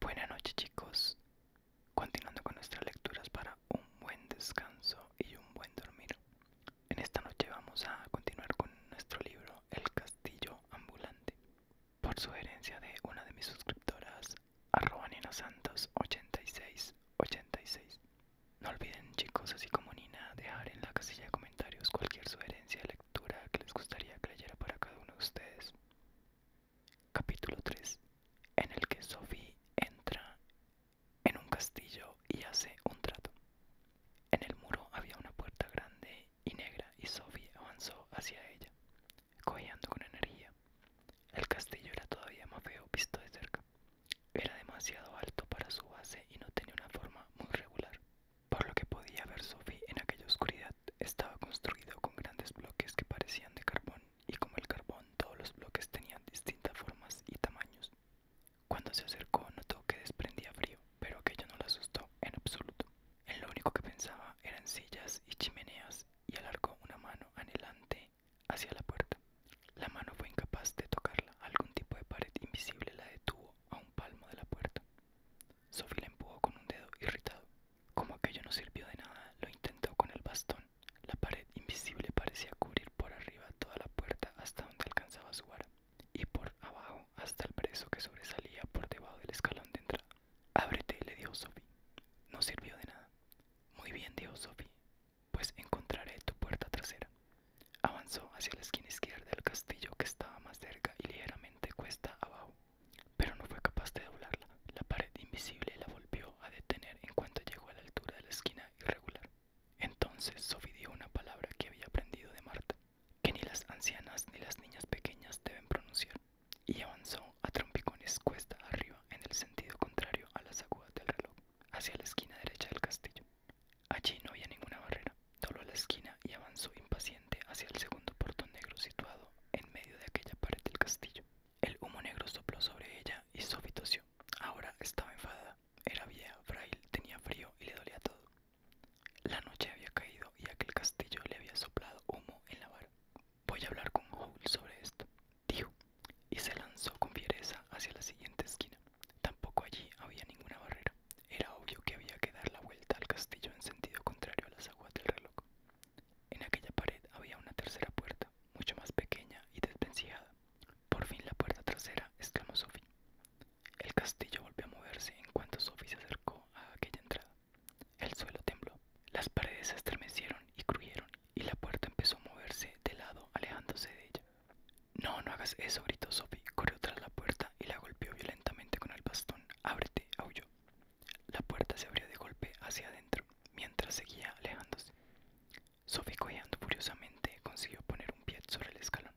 Buenas noches chicos, continuando con nuestras lecturas para un buen descanso y un buen dormir. En esta noche vamos a continuar con nuestro libro El Castillo Ambulante. Por sugerencia de una de mis suscriptoras, arroba Nina Santos 8686. No olviden chicos, así como Nina, dejar en la casilla de comentarios cualquier sugerencia de lectura que les gustaría que leyera para cada uno de ustedes. Capítulo 3, en el que Sophie entra en un castillo y hace un trato. En el muro había una puerta grande y negra y Sophie avanzó hacia ella, cojeando con energía. El castillo era todavía más feo visto de cerca. Era demasiado alto para su base y no tenía una forma muy regular, por lo que podía ver Sophie en aquella oscuridad estaba construido con grandes bloques que parecían de carbón y como el carbón todos los bloques tenían distintas formas y tamaños. Cuando se acercó notó que desprendía frío, pero aquello no lo asustó en absoluto. En lo único que pensaba eran sillas y chimeneas y alargó una mano anhelante hacia la puerta. La mano fue incapaz de tocarla, algún tipo de pared invisible la detuvo a un palmo de la puerta. Sophie le empujó con un dedo irritado. Como aquello no sirvió de nada, lo intentó con el bastón. La pared invisible parecía cubrir por arriba toda la puerta hasta donde alcanzaba su vara, y por abajo hasta el preso que sobresalía por debajo del escalón de entrada. Ábrete, le dijo Sophie. No sirvió de nada. Muy bien, dijo Sophie, pues encontraré tu puerta trasera. Avanzó hacia la esquina izquierda del castillo que estaba más cerca y ligeramente cuesta abajo pero no fue capaz de doblarla. La pared invisible la volvió a detener en cuanto llegó a la altura de la esquina irregular. Entonces Sophie dio una palabra que había aprendido de Marta, que ni las ancianas ni las niñas pequeñas deben pronunciar, y avanzó a trompicones cuesta arriba en el sentido contrario a las agudas del reloj, hacia la esquina derecha del castillo. Allí no había ninguna barrera, dobló la esquina y avanzó impaciente hacia el segundo portón negro situado en medio de aquella pared del castillo. El humo negro sopló sobre ella y sofitoció. Ahora estaba enfadada. Era vieja, frail, tenía frío y le dolía todo. La noche había caído y aquel castillo le había soplado humo en la vara. Voy a hablar con Howl sobre esto, dijo, y se lanzó con fiereza hacia la siguiente esquina. Tampoco allí había ninguna barrera. Era obvio que había que dar la vuelta al castillo en sentido contrario a las aguas del reloj. En aquella pared había una tercera puerta, mucho más pequeña y desvencijada. Por fin la puerta trasera, exclamó Sophie. El castillo volvió a moverse en cuanto Sophie se acercó a aquella entrada. El suelo tembló, las paredes se estremecieron y cruyeron, y la puerta empezó a moverse de lado, alejándose de ella. No, no hagas eso, gritó Sophie, corrió tras la puerta y la golpeó violentamente con el bastón. Ábrete, aulló. La puerta se abrió de golpe hacia adentro, mientras seguía alejándose. Sophie, cojeando furiosamente, consiguió poner un pie sobre el escalón.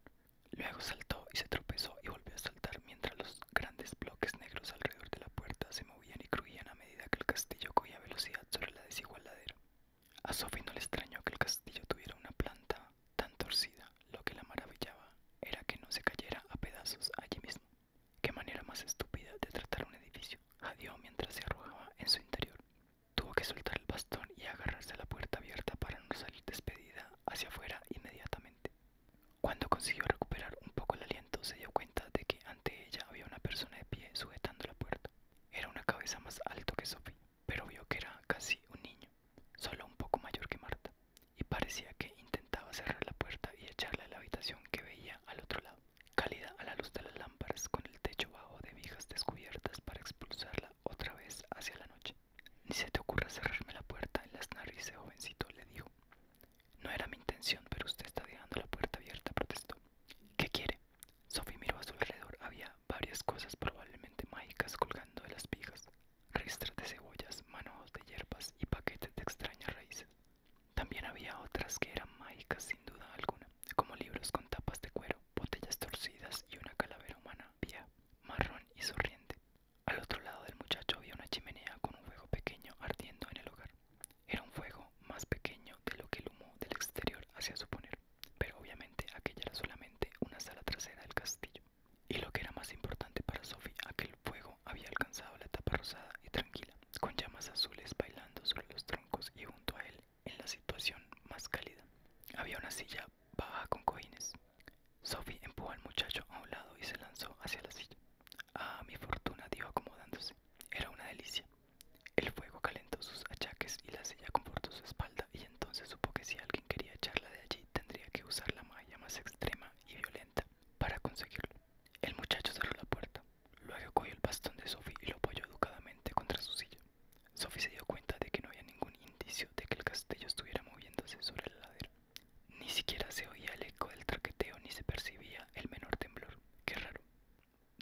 Luego saltó y se tropezó y volvió a saltar mientras los grandes bloques negros alrededor de la puerta se movían y crujían a medida que el castillo cogía velocidad sobre la desigual A Sophie no le extrañó que el castillo tuviera una planta tan torcida, lo que la maravillaba era que no se cayera a pedazos allí mismo. Qué manera más estúpida de tratar un edificio, jadeó mientras se arrojaba en su interior. Tuvo que soltar el bastón y agarrarse a la puerta abierta para no salir despedida hacia afuera inmediatamente. Cuando consiguió recuperar un poco el aliento, se dio cuenta de que ante ella había una persona de pie sujetando la puerta. Era una cabeza más alto que Sophie, pero vio que era casi un niño, solo un poco mayor que Marta y parecía que intentaba cerrar la puerta y echarla a la habitación que veía al otro lado, cálida a la luz de las lámparas con el techo bajo de vigas descubiertas para expulsarla otra vez hacia la noche. Ni se te ocurra cerrarme la puerta en las narices, jovencito, le dijo. No era mi intención, pero usted está dejando la puerta abierta, protestó. ¿Qué quiere? Sophie miró a su alrededor. Había varias cosas probablemente mágicas colgando de las vigas ristras de cebollas, manojos de hierbas y paquetes de extrañas raíces. También había otras que eran mágicas sin duda alguna, como libros con tapas de cuero, botellas torcidas y una calavera humana vieja, marrón y sonriente. Al otro lado del muchacho había una chimenea con un fuego pequeño ardiendo en el hogar. Era un fuego más pequeño de lo que el humo del exterior hacía suponer, pero obviamente aquella era solamente una sala trasera del castillo. Y lo que era más importante para Sophie, aquel fuego había alcanzado la tapa rosada y tranquila, con llamas azules bailando sobre los troncos y junto a él, en la situación más cálida, había una silla baja con cojines. Sophie empujó al muchacho a un lado y se lanzó hacia la silla. Ah, mi fortuna, dio acomodándose. Era una delicia. El fuego calentó sus achaques y la silla confortó su espalda y entonces supo que si alguien quería echarla de allí tendría que usar la malla más extrema y violenta para conseguirlo. El muchacho cerró la puerta. Luego cogió el bastón de Sophie y lo apoyó educadamente contra su silla. Sophie se dio cuenta de que no había ningún indicio de que el castillo estuviera moviéndose sobre la ladera. Ni siquiera se oía el eco del traqueteo ni se percibía el menor temblor. Qué raro.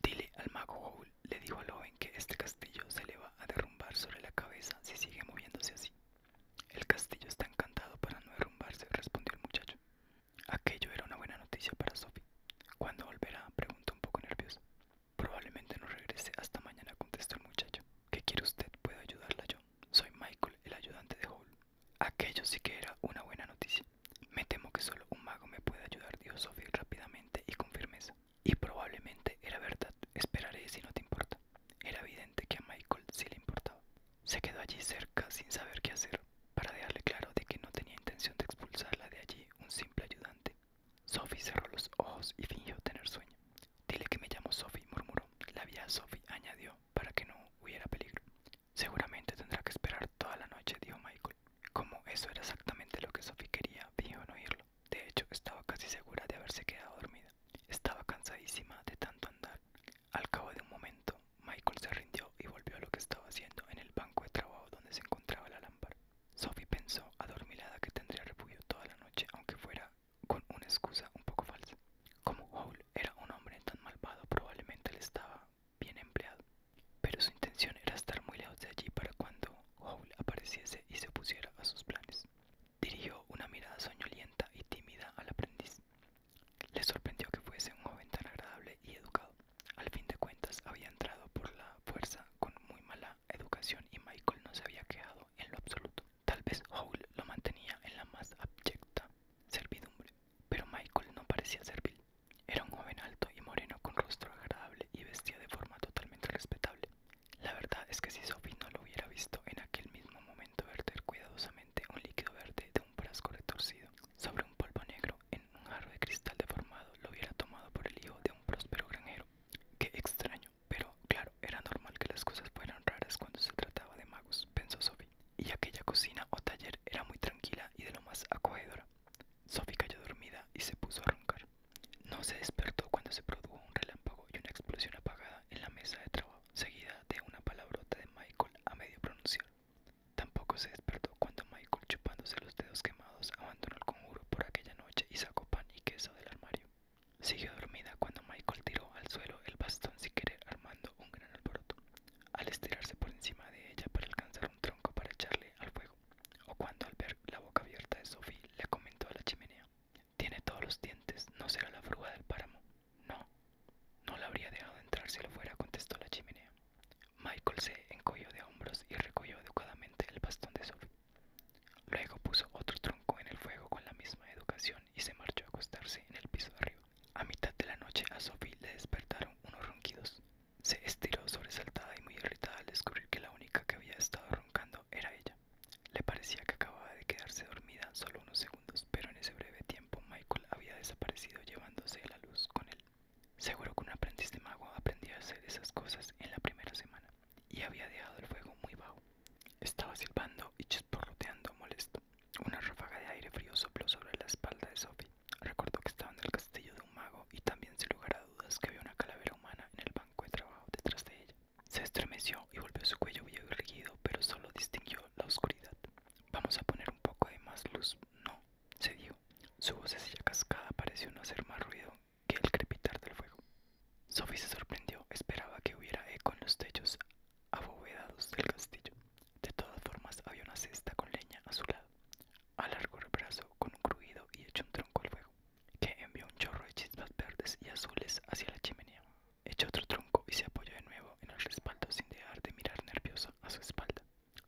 Dile al mago Howl, le dijo al joven que este castillo se le va a derrumbar sobre la cabeza si sigue moviéndose así. El castillo está encantado para no derrumbarse, respondió el muchacho. Aquello era una buena noticia para Sophie. ¿Cuándo volverá? preguntó un poco nervioso Probablemente no regrese hasta mañana, contestó el muchacho. ¿Qué quiere usted? ¿Puedo ayudarla yo? Soy Michael, el ayudante de Hall. Aquello sí que era una buena noticia. Me temo que solo un mago me puede ayudar, dijo Sophie rápidamente y con firmeza. Y probablemente era verdad. Esperaré si no te importa. Era evidente que a Michael sí le importaba. Se quedó allí cerca sin saber qué hacer, para dejarle claro de que no tenía intención de expulsarla de allí un simple ayudante. Sophie cerró los ojos y fingió tener sueño. Dile que me llamo Sophie, murmuró. La vieja Sophie añadió para que no hubiera peligro. Seguramente tendrá que esperar toda la noche, dijo Michael. Como eso era exactamente lo que Sophie quería, fingió no oírlo. De hecho, estaba casi segura de haberse quedado dormida. Estaba cansadísima de tanto andar. Al cabo de un momento, Michael se rindió y volvió a lo que estaba haciendo en el banco de trabajo donde se encontraba la lámpara. Sophie pensó, adormilada, que tendría refugio toda la noche, aunque fuera con una excusa un poco falsa. Como Howell era un hombre tan malvado, probablemente le estaba bien empleado. Pero su intención era estar muy lejos de allí para cuando Howell apareciese y se opusiera a sus planes. Dirigió una mirada soñolienta y tímida al aprendiz. Le sorprendió que fuese un joven tan agradable y educado. Al fin de cuentas había entrado por la fuerza con muy mala educación y Michael no se había quedado en lo absoluto. Tal vez Howell lo mantenía en la más abyecta servidumbre, pero Michael no parecía servil. Era un joven alto y moreno con rostro agradable y vestía de forma totalmente respetable. La verdad es que si Sophie no lo hubiera visto en aquel mismo momento verter cuidadosamente un líquido verde de un frasco retorcido sobre un polvo negro en un jarro de cristal deformado lo hubiera tomado por el hijo de un próspero granjero. Qué extraño, pero claro, era normal que las cosas fueran raras cuando se trataba de magos, pensó Sophie. Y aquella cocina o taller era muy tranquila y de lo más acogedora. Sophie cayó dormida y se puso a roncar. No se despertó cuando se produjo un relámpago y una explosión apagada en la mesa de trabajo, seguida de una palabrota de Michael a medio pronunciar. Tampoco se despertó cuando Michael, chupándose los dedos quemados, abandonó el conjuro por aquella noche y sacó pan y queso del armario. Siguió dormida cuando Michael tiró al suelo el bastón sin querer, armando un gran alboroto, al estirarse por encima de ella para alcanzar un tronco para echarle al fuego, o cuando al ver la boca abierta de Sophie le comentó a la chimenea: Tiene todos los dientes, no será la fruga del páramo. No, no la habría dejado entrar si lo fuera, contestó la chimenea. Michael se encogió de hombros y recogió educadamente el bastón de Sophie. Luego puso otro tronco en el fuego con la misma educación y se marchó a acostarse en el piso de arriba. A mitad de la noche a Sophie le despertaron unos ronquidos. Se estiró sobresaltada y muy irritada al descubrir que la única que había estado roncando era ella. Le parecía que acababa de quedarse dormida solo unos segundos, pero en ese breve tiempo Michael había desaparecido llevándose la luz con él. Seguro que un aprendiz de mago aprendió a hacer esas cosas en la primera semana y había dejado el fuego muy bajo. Estaba silbando y chisporroteando molesto. Una ráfaga de aire frío sopló sobre la espalda de Sophie. Recordó que estaba en el castillo de un mago y también sin lugar a dudas que había una calavera humana en el banco de trabajo detrás de ella. Se estremeció y volvió su cuello viejo y pero solo distinguió la oscuridad. Vamos a poner un poco de más luz. No, se dio. Su vocecilla cascada pareció no hacer más ruido que el crepitar del fuego. Sophie se sorprendió, esperaba que hubiera eco en los techos abovedados del castillo. De todas formas, había una cesta con leña a su lado. Alargó el brazo con un crujido y echó un tronco al fuego, que envió un chorro de chispas verdes y azules hacia la chimenea. Echó otro tronco y se apoyó de nuevo en el respaldo sin dejar de mirar nervioso a su espalda,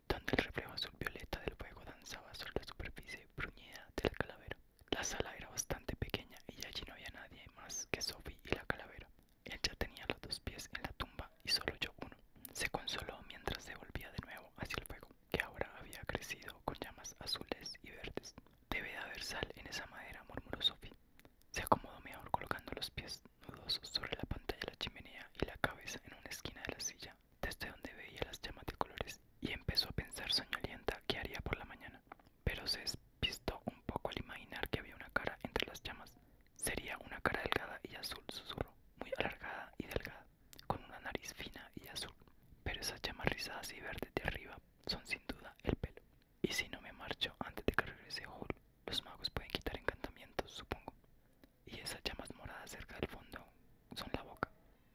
donde el reflejo azul violeta del fuego danzaba sobre la superficie bruñida del calavera. La sala era bastante pequeña y allí no había nadie más que Sophie y la calavera. Él ya tenía los dos pies en la tumba y solo yo uno. Se consoló mientras se volvía de nuevo hacia el fuego, que ahora había crecido con llamas azules y verdes. Debe de haber sal en esa madera, murmuró Sophie. Se acomodó mejor colocando los pies nudosos sobre la pantalla de la chimenea y la cabeza en una esquina de la silla, desde donde veía las llamas de colores, y empezó a pensar soñolienta qué haría por la mañana. Pero se despistó un poco al imaginar que había una cara entre las llamas. Sería una cara delgada y azul, susurro, muy alargada y delgada, con una nariz fina y azul. Pero esas llamas rizadas y verdes de arriba son sin duda el pelo. Y si no me marcho antes de que regrese Hall, los magos pueden quitar encantamientos, supongo. Y esas llamas moradas cerca del fondo son la boca.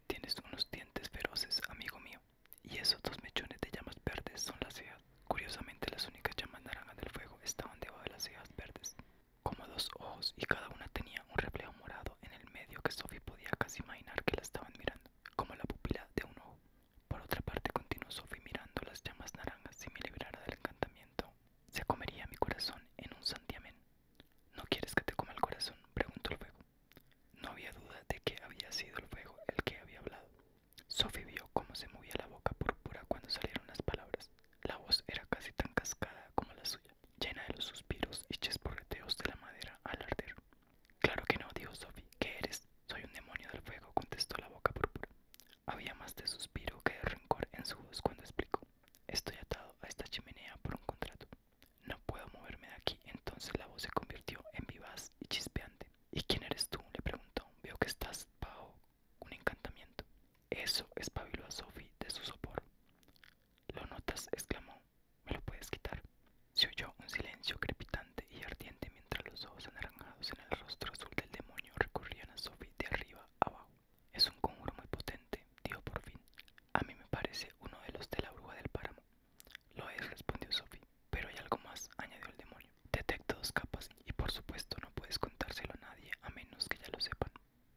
Tienes unos dientes feroces, amigo mío. Y esos dos mechones de llamas verdes son las cejas. Curiosamente, las únicas llamas naranjas del fuego estaban debajo de las cejas verdes, como dos ojos, y cada una tenía un reflejo morado en el medio que Sophie podía casi imaginar que la estaban mirando, como la pupila de un ojo. Por otra parte, continuó Sophie mirando las llamas naranjas. Si me librara del encantamiento, se comería mi corazón en un santiamén. ¿No quieres que te coma el corazón? preguntó el fuego. No había duda de que había sido el fuego el que había hablado. Sophie vio cómo se movía la boca púrpura cuando salieron las palabras. La voz era casi tan cascada como la suya, llena de los suspiros y chesporreteos de la madera al arder. Claro que no, dijo Sophie. ¿Qué eres? Soy un demonio del fuego, contestó la boca púrpura. Había más de suspiro que de rencor en su voz cuando explicó. Estoy atado a esta chimenea por un contrato. No puedo moverme de aquí. Entonces la voz se convirtió en vivaz y chispeante. ¿Y quién eres tú? le preguntó. Veo que estás bajo un encantamiento. Eso espabiló a Sophie de su sopor. ¿Lo notas? exclamó. ¿Me lo puedes quitar? Se oyó un silencio crepitante y ardiente mientras los ojos anaranjados en el rostro azul del demonio recurrían a Sophie de arriba abajo. Es un conjuro muy potente, dijo por fin. A mí me parece uno de los de la bruja del páramo. Lo es, respondió Sophie. Pero hay algo más, añadió el demonio. detecto dos capas y por supuesto no puedes contárselo a nadie a menos que ya lo sepan.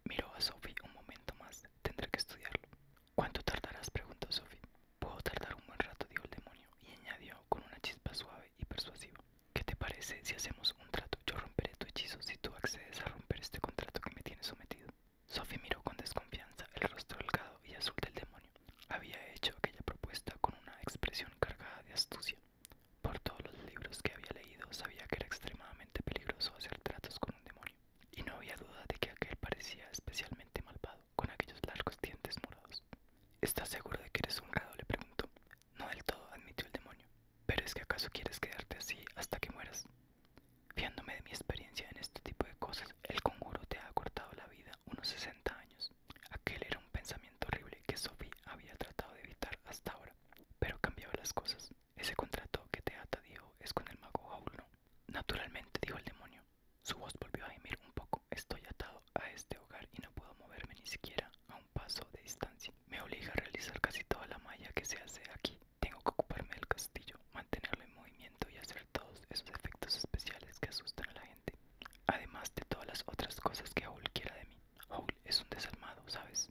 Miró a Sophie un momento más. Tendré que estudiarlo. ¿Cuánto tardarás? preguntó Sophie. Puedo tardar un buen rato, dijo el demonio, y añadió con una chispa suave y persuasiva. ¿Qué te parece si hacemos un trato? Yo romperé tu hechizo si tú accedes a romper este contrato que me tienes sometido. Sophie miró con desconfianza el rostro delgado y azul del demonio. Había hecho aquella propuesta con una expresión cargada de astucia. Por todos los libros que había leído sabía que era extremadamente peligroso hacer tratos con un demonio, y no había duda de que aquel parecía especialmente malvado, con aquellos largos dientes morados. ¿Estás seguro de que eres un grado? le preguntó. No del todo, admitió el demonio. ¿Pero es que acaso quieres quedarte así hasta que mueras? Fiándome de mi experiencia en este tipo de cosas, el conjuro te ha cortado la vida unos 60 años. Aquel era un pensamiento horrible que Sophie había tratado de evitar hasta ahora, pero cambiaba las cosas. Ese contrato que te ata, dijo, es con el mago Jaul, ¿no? Naturalmente, dijo el demonio. Su voz volvió a gemir un poco. Estoy atado a este hogar y no puedo moverme ni siquiera a un paso de distancia. Me obliga a realizar casi toda la malla que se hace aquí. Tengo que ocuparme del castillo, mantenerlo en movimiento y hacer todos esos efectos especiales que asustan a la gente. Además de todas las otras cosas que Howl quiera de mí. Howl es un desalmado, ¿sabes?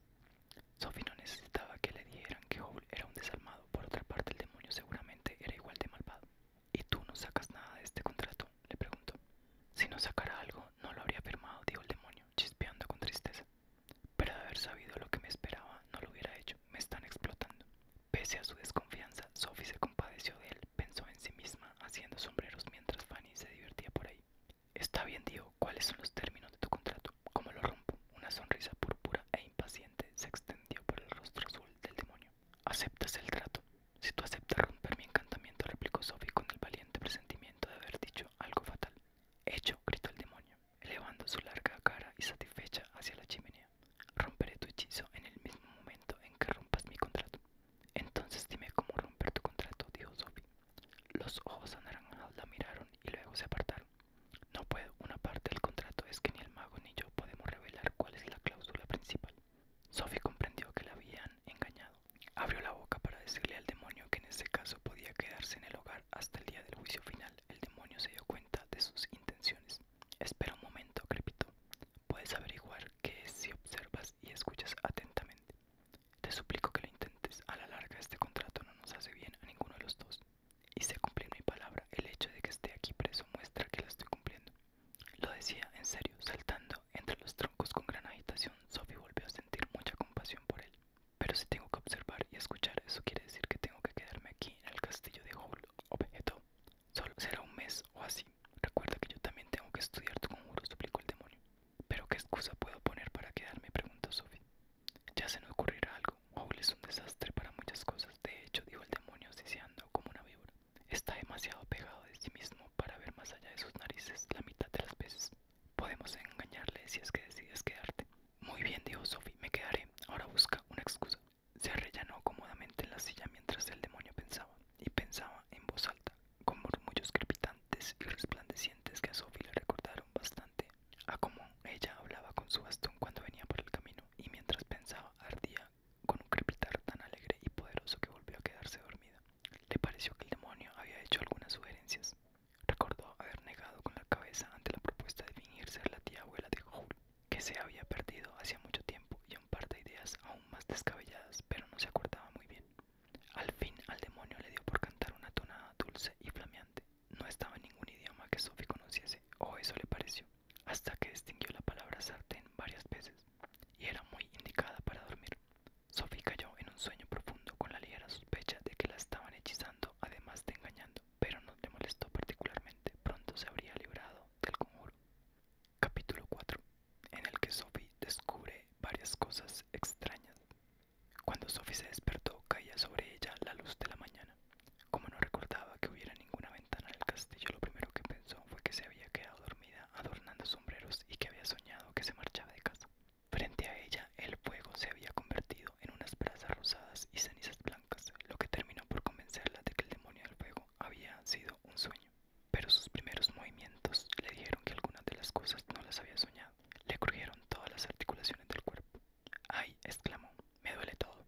Sophie no necesitaba que le dijeran que Howl era un desalmado. Por otra parte, el demonio seguramente era igual de malvado. Y tú no sacas nada de este contrato le preguntó. Si no sacara algo, no lo habría firmado, dijo el demonio, chispeando con tristeza. Pero de haber sabido lo que me esperaba, no lo hubiera hecho. Me están explotando. Pese a su desconfianza, Sophie se compadeció de él, pensó en sí misma, haciendo sombreros mientras Fanny se divertía por ahí. Está bien, dijo, ¿cuáles son los términos de tu contrato? ¿Cómo lo rompo? Una sonrisa púrpura e impaciente se extendió por el rostro azul del demonio. ¿Aceptas el trato? Si tú aceptas romper mi encantamiento, replicó Sophie con el valiente presentimiento de haber dicho algo fatal. Hecho, gritó el demonio, elevando su larga cara y satisfecha hacia la chimenea. Romperé tu hechizo en el mismo momento en que rompas mi contrato. Entonces dime cómo romper tu contrato, dijo Sophie. Los ojos anaranjados la miraron y luego se apartaron. No puedo, una parte del contrato es que ni el mago ni yo podemos revelar cuál es la cláusula principal. Sophie comprendió que la habían engañado. Abrió la boca para decirle al demonio que en ese caso podía quedarse en el hogar hasta el día del juicio final. El demonio se dio cuenta de sus intenciones. Espera un momento, Crepito Puedes averiguar qué es si observas y escuchas atentamente. Te suplico que lo intentes. A la larga este contrato no nos hace bien a ninguno de los dos. Y se cumplir mi palabra. El hecho de que esté aquí preso muestra que la estoy cumpliendo. Lo decía en serio, saltando entre los troncos con gran agitación. Sophie volvió a sentir mucha compasión por él. Pero si tengo que observar y escuchar, eso quiere decir que tengo que quedarme aquí en el castillo de Howl, objetó. Solo será un mes o así. Recuerda que yo también tengo que estudiar tu conjuro, suplicó el demonio. ¿Pero qué excusa puedo poner para quedarme? preguntó Sophie. Ya se me ocurrirá algo. Howl es un desastre para muchas cosas. De hecho, dijo el demonio, siseando como una víbora. Está demasiado pegado de sí mismo para ver más allá de sus narices la mitad de las veces. Podemos engañarle si es que decides quedarte. Muy bien, dijo Sophie, me quedaré. Ahora busca una excusa. Se arrellanó cómodamente en la silla mientras el demonio pensaba, y pensaba en voz alta, con murmullos crepitantes y resplandecientes que a Sophie le recordaron bastante a cómo ella hablaba con su bastón cuando venía por el camino, y mientras pensaba ardía con un crepitar tan alegre y poderoso que volvió a quedarse dormida. Le pareció que el demonio había hecho algunas sugerencias. Recordó haber negado con la cabeza ante la propuesta de fingir ser la tía abuela de Jul, que se había perdido hacía mucho tiempo y un par de ideas aún más descabelladas, pero no se acordaba muy bien. Al fin al demonio le dio por cantar una tonada dulce y flameante. No estaba en ningún idioma que Sophie conociese, o eso le pareció, hasta que distinguió la palabra sartén varias veces, y era muy indicada para dormir. Sophie cayó en un sueño profundo con la ligera sospecha de que la estaban hechizando, además de engañando, pero no le molestó particularmente. Pronto se habría librado del conjuro. Capítulo 4, en el que Sophie descubre varias cosas extrañas. Cuando Sophie se despertó, caía sobre ella la luz de la mañana. Como no recordaba que hubiera ninguna ventana en el castillo, lo primero que pensó fue que se había quedado dormida adornando su y que había soñado que se marchaba de casa. Frente a ella, el fuego se había convertido en unas brasas rosadas y cenizas blancas, lo que terminó por convencerla de que el demonio del fuego había sido un sueño. Pero sus primeros movimientos le dijeron que algunas de las cosas no las había soñado. Le crujieron todas las articulaciones del cuerpo. ¡Ay! exclamó, me duele todo.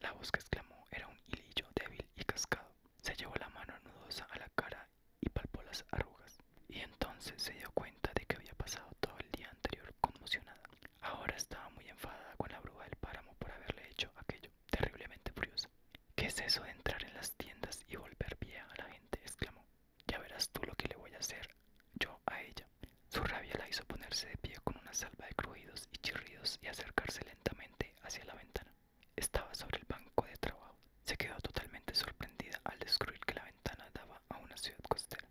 La voz que exclamó era un hilillo débil y cascado. Se llevó la mano nudosa a la cara y palpó las arrugas, y entonces se dio cuenta de que había pasado todo el día anterior conmocionada. Ahora estaba muy enfadada con la bruja del páramo por haberle hecho aquello, terriblemente furiosa. ¿Qué es eso de entrar en las tiendas y volver vieja a la gente? exclamó. Ya verás tú lo que le voy a hacer yo a ella. Su rabia la hizo ponerse de pie con una salva de crujidos y chirridos y acercarse lentamente hacia la ventana. Estaba sobre el banco de trabajo. Se quedó totalmente sorprendida al descubrir que la ventana daba a una ciudad costera.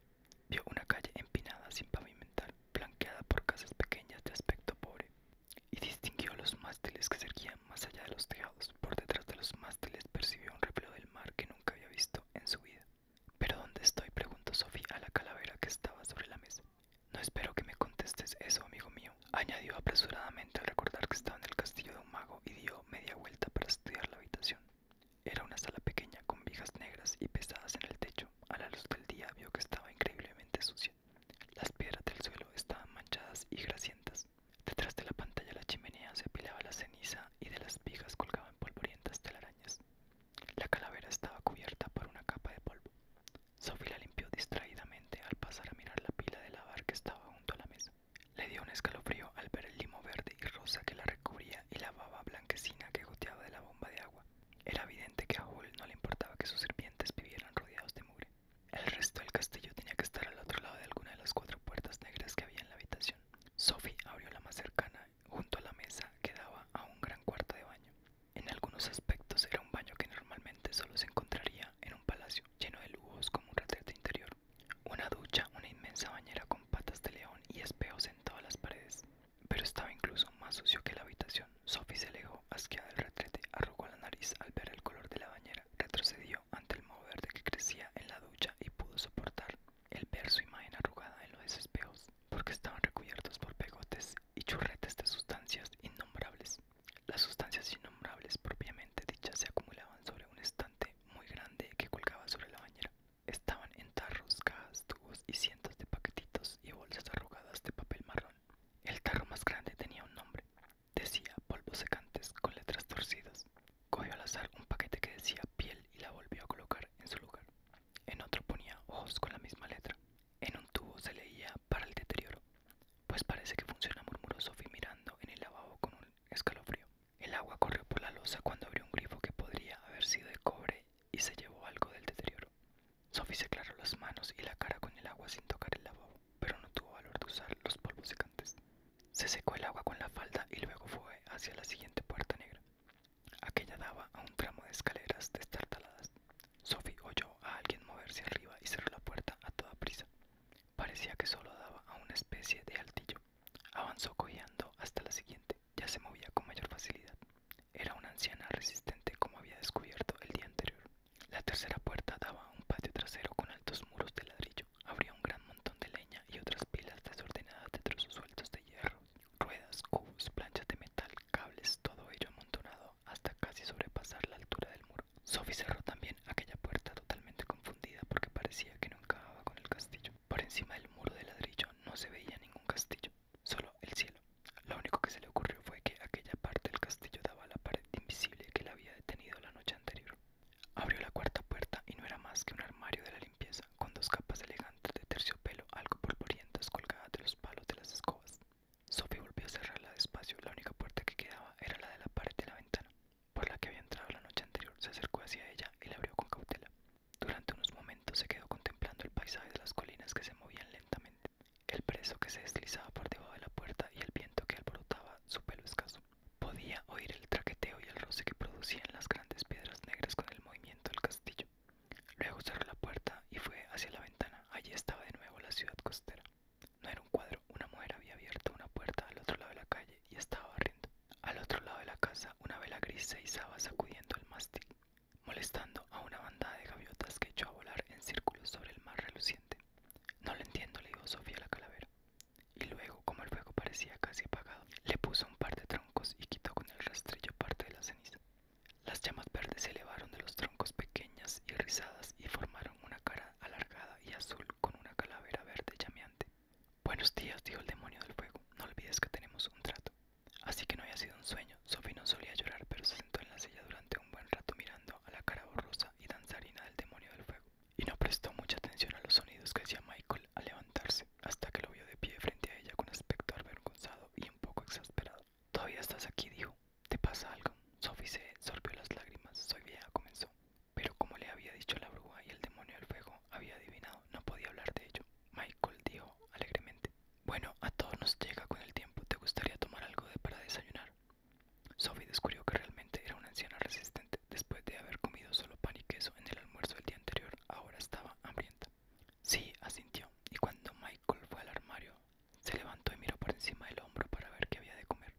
Vio una calle empinada sin pavimentar, blanqueada por casas pequeñas de aspecto pobre, y distinguió los mástiles que se erguían más allá de los tejados. Por detrás de los mástiles percibió un reflejo del mar que nunca había visto en su vida. ¿Pero dónde estoy? preguntó Sofía a la calavera que estaba sobre la mesa. No espero que me contestes eso, amigo mío añadió apresuradamente al recordar que estaba en el castillo de un mago y dio media vuelta para estudiar la habitación. Era una sala pequeña con vigas negras y pesadas en el techo. A la luz del día vio que estaba increíblemente sucia. Las piedras del suelo estaban manchadas y grasientas. Detrás de la pantalla la chimenea se apilaba la ceniza y de las vigas colgaban polvorientas telarañas. La calavera estaba cubierta por una capa de polvo. Sophie la limpió distraídamente al pasar a mirar la pila de lavar que estaba junto a la mesa. Le dio un escalofrío al ver el limo verde y rosa que la recubría y la baba blanquecina que goteaba de la bomba de agua. Era evidente que a Hull no le importaba que sus sirvientes vivieran rodeados de mugre. El resto del castillo tenía que estar al otro lado de alguna de las cuatro puertas negras que había en la habitación. Sophie abrió la más cercana junto a la mesa que daba a un gran cuarto de baño. En algunos aspectos era un baño que normalmente solo se encontraría en un palacio, lleno de lujos como un retrete interior. Una ducha, una inmensa bañera con patas de león y espejos en todas las paredes. Pero estaba incluso más sucio que la habitación. Sophie se alejó, asqueada del retrete, arrugó la nariz al ver el color de la bañera, retrocedió ante el moho verde que crecía en la ducha y pudo soportar el ver su imagen arrugada en los espejos, porque estaban recubiertos por pegotes y churretes de sustancias innombrables. Las sustancias innombrables propiamente dichas se acumulaban sobre un estante muy grande que colgaba sobre la bañera. Estaban en tarros, cajas, tubos y cientos de paquetitos y bolsas arrugadas de papel marrón. El tarro más grande tenía un nombre. Decía polvos secantes con letras torcidas. Cogió al azar un paquete que decía piel y la volvió a colocar en su lugar. En otro ponía ojos con la misma letra. En un tubo se leía para el deterioro. Pues parece que funciona, murmuró Sophie mirando en el lavabo con un escalofrío. El agua corrió por la losa cuando abrió un grifo que podría haber sido de cobre y se llevó algo del deterioro. Sophie se aclaró las manos y la cara con el agua sin tocar el lavabo, pero no tuvo valor de usar los polvos secantes. Se secó el agua con la falda y luego fue hacia la siguiente puerta negra. Aquella daba a un tramo de escaleras destartaladas. Sophie oyó a alguien moverse arriba y cerró la puerta a toda prisa. Parecía que solo daba a una especie de altillo. Avanzó cojeando hasta la siguiente. Ya se movía con mayor facilidad. Era una anciana resistente como había descubierto el día anterior. La tercera puerta daba a un patio trasero con altos muros de ladrillo. Abría un gran montón de leña y otras pilas desordenadas de trozos sueltos de hierro, ruedas, cubos, planchas de metal, cables, todo ello amontonado hasta casi sobrepasar la altura del muro. Sophie cerró también aquella puerta totalmente confundida porque parecía que no encajaba con el castillo. Por encima del muro de ladrillo no se veía ningún castillo, solo el cielo. Lo único que se le ocurrió fue que aquella parte del castillo daba a la pared invisible que la había detenido la noche anterior. Abrió la cuarta puerta y no era más que un armario de la limpieza, con dos capas elegantes de terciopelo algo polvorientas colgadas de los palos de las escobas. Sophie volvió a cerrarla despacio. La única puerta que quedaba era la de la pared de la ventana, por la que había entrado la noche anterior. Se acercó hacia ella y la abrió con cautela. Durante unos momentos se quedó contemplando el paisaje de las colinas que se movían lentamente, el preso que se deslizaba por debajo de la puerta y el viento que alborotaba su pelo escaso. Podía oír el traqueteo y el roce que producían las grandes piedras negras con el movimiento del castillo. Luego cerró la puerta y fue hacia la ventana. Allí estaba de nuevo la ciudad costera. No era un cuadro, una mujer había abierto una puerta al otro lado de la calle y estaba riendo Al otro lado de la casa, una vela gris se izaba sacudiendo el mástil, molestando a una bandada de gaviotas que echó a volar en círculos sobre el mar reluciente. No lo entiendo, le dijo Sofía la calavera. Y luego, como el fuego parecía casi apagado, le puso un par de troncos y quitó con el rastrillo parte de la ceniza. Las llamas verdes se elevaron de los troncos pequeñas y rizadas y formaron una cara alargada y azul con una calavera verde llameante. Buenos días, dijo el demonio del fuego. No olvides que tenemos un trato. Así que no había sido un sueño. Sophie no solía llorar, pero se sentó en la silla durante un buen rato mirando a la cara borrosa y danzarina del demonio del fuego. Y no prestó mucha atención a los sonidos que hacía Michael al levantarse, hasta que lo vio de pie frente a ella con aspecto avergonzado y un poco exasperado. Todavía estás aquí, dijo. ¿Te pasa algo? Sophie se sorbió las lágrimas. Soy vieja, comenzó. Pero como le había dicho la bruja y el demonio del fuego había adivinado, no podía hablar de ello. Michael dijo alegremente: Bueno, a todos nos llega con el tiempo. ¿Te gustaría tomar algo de para desayunar? Sophie descubrió que realmente era una anciana resistente. Después de haber comido solo pan y queso en el almuerzo del día anterior, ahora estaba hambrienta. Sí, asintió, y cuando Michael fue al armario se levantó y miró por encima del hombro para ver qué había de comer.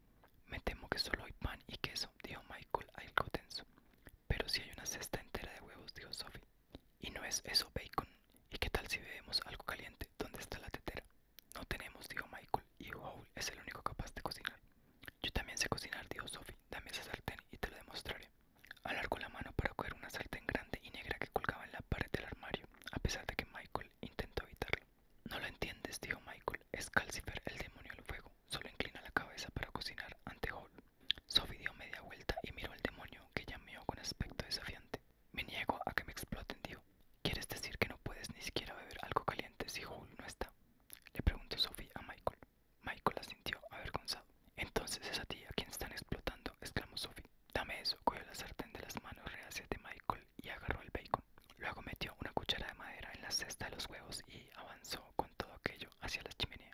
Me temo que solo hay pan y queso, dijo Michael algo tenso. Pero si hay una cesta entera de huevos, dijo Sophie. Y no es eso bacon. ¿Y qué tal si bebemos algo caliente? ¿Dónde está la tetera? No tenemos, dijo Michael, y Howl es el único capaz de cocinar. Yo también sé cocinar, dijo Sophie. Dame esa sartén y te lo demostraré. Alargó la mano para coger una sartén grande y negra que colgaba en la pared del armario, a pesar de que Michael intentó evitarlo. No lo entiendes, dijo Michael. Es Calcifer, el demonio del fuego. Solo inclina la cabeza para cocinar ante Hall. Sophie dio media vuelta y miró al demonio, que llamó con aspecto desafiante. Me niego a que me exploten, dijo. ¿Quieres decir que no puedes ni siquiera beber algo caliente si Hall no está? Le preguntó Sophie a Michael. Michael asintió avergonzado. Entonces es a ti a quien están explotando, exclamó Sophie. Dame eso, cogió la sartén de las manos reacias de Michael y agarró el bacon. Luego metió una cuchara de madera en la cesta de los huevos y avanzó con todo aquello hacia la chimenea.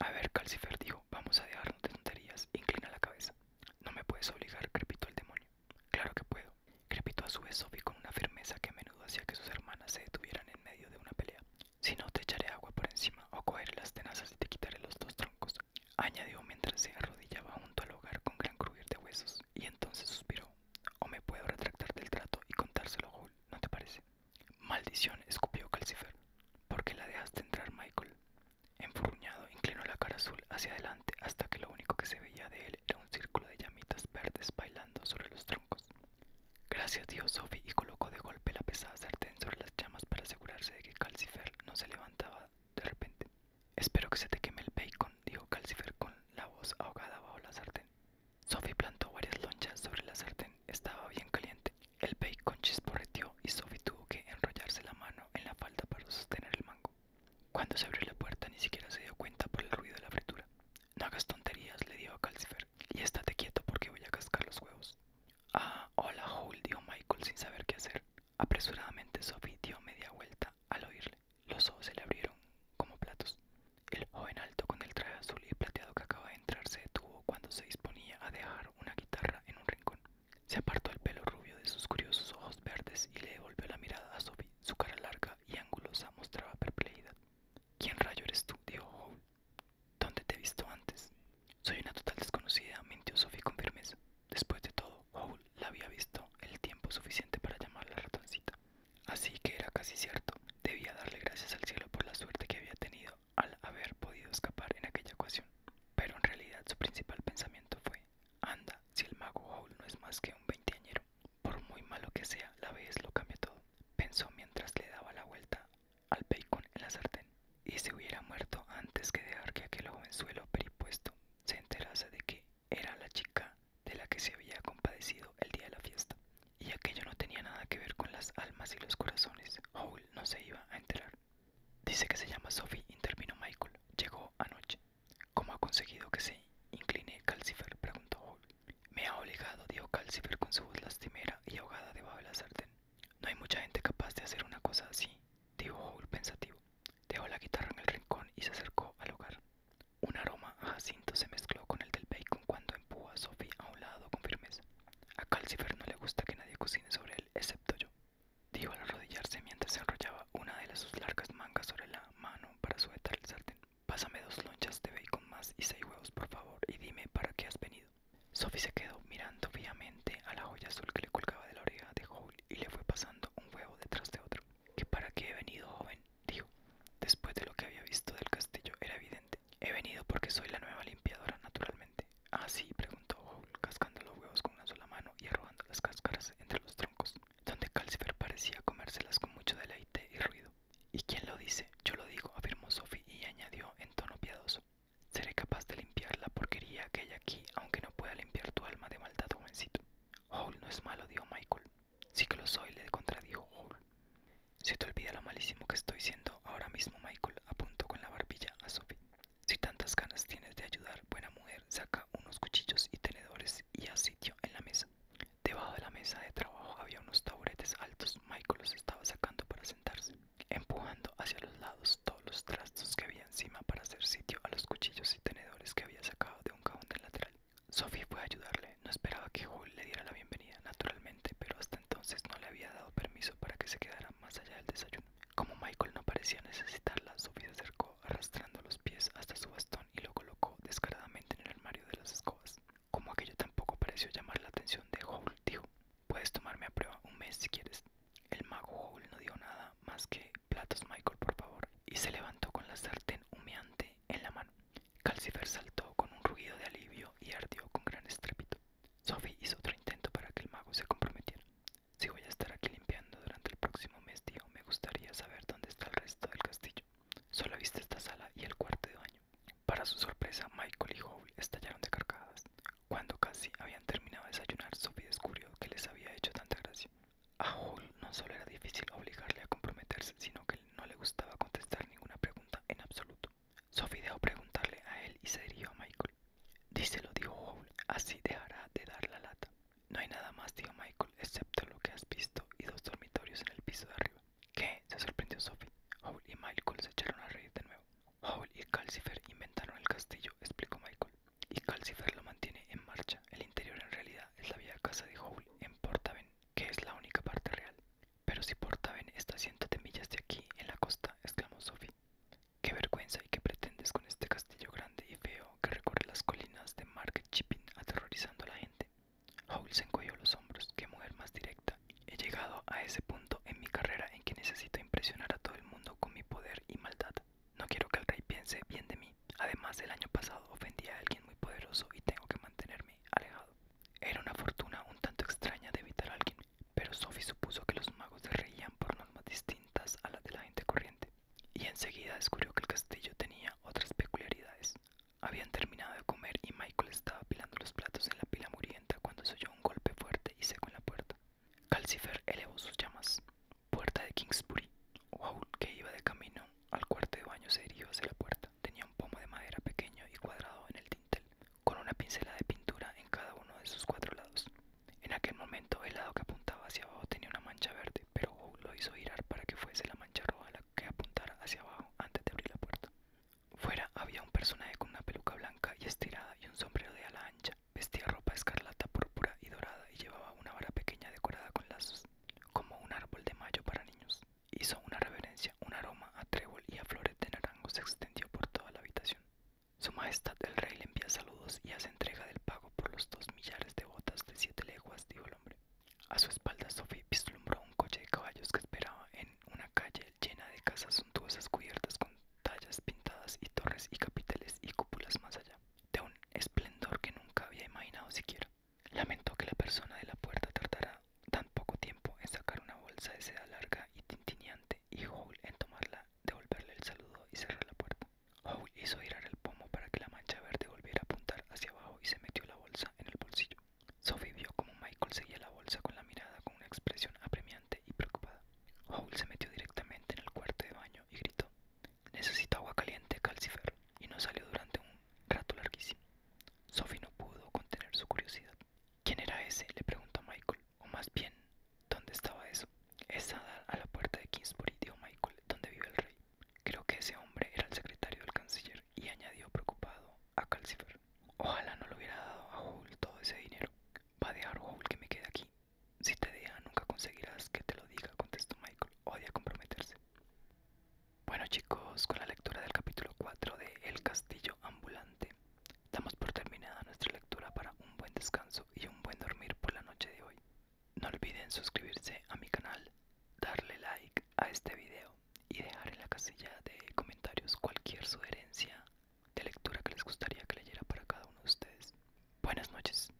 A ver, Calcifer dijo, vamos a dejarnos de tonterías, inclina la cabeza. No me puedes obligar, crepito el demonio. Claro que puedo, crepito a su vez Sophie con una firmeza que a menudo hacía que sus hermanas se detuvieran en medio de una pelea. Si no, te echaré agua por encima o cogeré las tenazas y te quitaré los dos troncos, añadió mientras se arrodillaba junto al hogar con gran crujir de huesos, y entonces suspiró o me puedo retractar del trato y contárselo a Hull, ¿no te parece? Maldición, escupió Calcifer. ¿Por qué la dejaste entrar, Michael? Enfurruñado, inclinó la cara azul hacia adelante hasta que lo único que se veía de él era un círculo de llamitas verdes bailando sobre los troncos. Gracias Dios, Sophie, y colocó de golpe la pesada sartén sobre las llamas para asegurarse de que Calcifer no se levantaba de repente. Espero que se te queme el bacon, dijo Calcifer con la voz ahogada bajo la sartén. Sophie plantó varias lonchas sobre la sartén, estaba bien caliente. El bacon chisporreteó y Sophie tuvo que enrollarse la mano en la falda para sostener el mango. Cuando se abrió la puerta ni siquiera se dio cuenta por el ruido de la fritura. No hagas tonterías, le dijo a Calcifer, y estate quieto porque voy a cascar los huevos. Ah, hola, Hul, dijo Michael sin saber qué hacer. Apresuradamente Sophie dio media vuelta al oírle. Los ojos se le abrieron como platos. El joven alto con el traje azul y plateado que acaba de entrar se detuvo cuando se disponía a dejar una guitarra en un rincón. Se apartó el pelo rubio de sus curiosos ojos verdes y le devolvió la mirada a Sophie. Su cara larga y angulosa mostraba perplejidad. ¿Quién rayo eres tú? dijo ¿Dónde te he visto antes? Soy una total desconocida, mintió Sophie con firmeza. Después de todo, Howl la había visto el tiempo suficiente para llamar la ratoncita. Así que era casi cierto, debía darle gracias al cielo por la suerte que había tenido al haber podido escapar en aquella ocasión. Pero en realidad su principal pensamiento fue, anda, si el mago Howl no es más que un veinteañero, por muy malo que sea, la vez lo cambia todo, pensó mientras le daba la vuelta al bacon en la sartén. Y se hubiera muerto antes que dejar que aquel jovenzuelo peripuesto se enterase de que era la chica de la que se había compadecido el día de la fiesta, y aquello no tenía nada que ver con las almas y los corazones. Howell no se iba a enterar. Dice que se llama Sophie, intervino Michael. Llegó anoche. ¿Cómo ha conseguido que se incline Calcifer? preguntó Howell. Me ha obligado, dijo Calcifer con su voz lastimera y ahogada debajo de la sartén. No hay mucha gente capaz de hacer una cosa así, dijo Howell pensativo. Dejó la guitarra en el rincón y se acercó al hogar. Un aroma a Jacinto se mezcló con el del bacon cuando empujó a Sophie a un lado con firmeza. A Calcifer no le gusta que nadie cocine sobre él, excepto yo, dijo al arrodillarse mientras se enrollaba una de sus largas mangas sobre la mano para sujetar el sartén. Pásame dos lonchas de bacon más y seis huevos, por favor, y dime para qué has venido. Sophie se quedó mirando fijamente a la joya azul que le colgaba de la oreja de Howl y le fue pasando un huevo detrás de otro que para qué he venido, joven, dijo. Después de lo que había visto del castillo era evidente. He venido porque soy la nueva limpiadora, naturalmente. Ah, sí, preguntó Howl, cascando los huevos con una sola mano y arrojando las cáscaras entre los troncos, donde Calcifer parecía comérselas con mucho deleite y ruido. ¿Y quién lo dice? Yo lo digo, afirmó Sophie y añadió en tono piadoso. Seré capaz de limpiar la porquería que hay aquí, aunque no pueda limpiar tu alma de maldad, jovencito. Hall no es malo, dijo Michael. Sí que lo soy, le contradijo Hall. «Si te olvida lo malísimo que estoy siendo ahora mismo, Michael, apuntó con la barbilla a Sophie. Si tantas ganas tienes de ayudar, buena mujer, saca unos cuchillos y tenedores y haz sitio en la mesa. Debajo de la mesa de trabajo había unos taburetes altos. Michael los estaba sacando para sentarse, empujando hacia los lados todos los trastos que había encima para hacer sitio a los cuchillos y tenedores que había sacado de un cajón del lateral. Sophie fue a ayudarle. No esperaba que Hall le diera la bienvenida, naturalmente, pero hasta entonces no le había dado permiso para que se quedara más allá del desayuno. Como Michael no parecía necesitarla, Sophie se acercó arrastrando los pies hasta su bastón y lo colocó descaradamente en el armario de las escobas. Como aquello tampoco pareció llamar la atención de Hall, dijo, puedes tomarme a prueba un mes si quieres. El mago Hall no dio nada más que platos, Michael, por favor. Y se levantó con la sartén humeante en la mano. Calcifer saltó con un ruido de alivio y ardió con gran estrépito. Sophie hizo otro intento para que el mago se comprometiera. Si voy a estar aquí limpiando durante el próximo mes, tío, me gustaría saber dónde está el resto del castillo. Solo visto esta sala y el cuarto de baño. Para su sorpresa, Michael y Howie estallaron de carcajadas. Cuando casi habían terminado de desayunar, Sophie descubrió que les había hecho tanta gracia. A no solo era difícil obligarle a comprometerse, sino que no le gustaba contestar ninguna pregunta en absoluto. Sophie dejó preguntarle a él y se dirigió a Michael. Díselo, dijo Howl, así dejará de dar la lata. No hay nada más, dijo Michael, excepto lo que has visto y dos dormitorios en el piso de arriba. ¿Qué? se sorprendió Sophie. Howl y Michael se echaron a reír de nuevo. Howl y Calcifer inventaron el castillo, explicó Michael y Calcifer lo mantiene en marcha. El interior en realidad es la vieja casa de Howl en Portaven, que es la única parte real. Pero si Portaven está a ciento de millas de aquí, en la costa, exclamó Sophie. Qué vergüenza y qué pretendes con este castillo grande y feo que recorre las colinas de Mark Chipping aterrorizando a la gente. Howl se encogió los hombros, qué mujer más directa. He llegado a ese punto en mi carrera en que necesito impresionar a todo el mundo con mi poder y maldad. No quiero que el rey piense bien de mí. Además, el año pasado ofendí a alguien muy poderoso y tengo que mantenerme alejado. Era una fortuna un tanto extraña de evitar a alguien, pero Sophie supuso que los magos se reían por normas distintas a las de la gente corriente, y enseguida descubrió que el castillo tenía otras peculiaridades. Habían terminado de comer y Michael estaba apilando los platos en la pila murienta cuando se oyó un golpe fuerte y seco en la puerta. Calcifer elevó sus llamas puerta de Kingsbury. que iba de camino al cuarto de baño, se dirigió hacia la puerta. Tenía un pomo de madera pequeño y cuadrado en el dintel, con una pincela de pintura en cada uno de sus cuatro lados. En aquel momento, el lado que apuntaba hacia abajo tenía una mancha verde, pero lo hizo girar para que fuese la mancha roja la que apuntara hacia abajo antes de abrir la puerta. Fuera había un personaje con una peluca blanca y estirada y un sombrero de ala ancha. Vestía ropa escarlata, púrpura y dorada y llevaba una vara pequeña decorada con lazos como un árbol de mayo para niños. Hizo una reverencia, un aroma a trébol y a flores de naranjo se extendió por toda la habitación. Su Majestad el Rey le envía saludos y hace entrega del pago por los dos millares de botas de siete leguas, dijo el hombre. A su espalda, Sophie vislumbró un coche de caballos que esperaba en una calle llena de casas suntuosas cubiertas con tallas pintadas y torres y capiteles y cúpulas más allá de un esplendor que nunca había imaginado siquiera. Lamentó que la persona de la puerta tardara tan poco tiempo en sacar una bolsa de seda larga y tintineante y Howell en tomarla, devolverle el saludo y cerrar la puerta. Howell hizo girar el pomo para que la mancha verde volviera a apuntar hacia abajo y se metió la bolsa en el bolsillo. Sophie vio como Michael seguía la bolsa con la mirada con una expresión apremiante y preocupada. Howell se metió directamente en el cuarto de baño y gritó Necesito agua caliente, Calcifer, y no salió durante un rato larguísimo. Sophie no pudo contener su curiosidad. ¿Quién era ese? le preguntó Michael, o más bien, ¿dónde estaba eso? Es a la puerta de Kingsbury, dijo Michael, donde vive el rey. Creo que ese hombre era el secretario del canciller y añadió preocupado a Calcifer. Ojalá no le hubiera dado a Howell todo ese dinero. Va a dejar que me quede aquí, si te diga, nunca conseguirás que te lo diga, contestó Michael. Odia comprometerse. Bueno chicos, con la lectura del capítulo 4 de El Castillo Ambulante, damos por terminada nuestra lectura para un buen descanso y un buen dormir por la noche de hoy. No olviden suscribirse a mi canal, darle like a este video y dejar en la casilla de comentarios cualquier sugerencia de lectura que les gustaría que leyera para cada uno de ustedes. Buenas noches.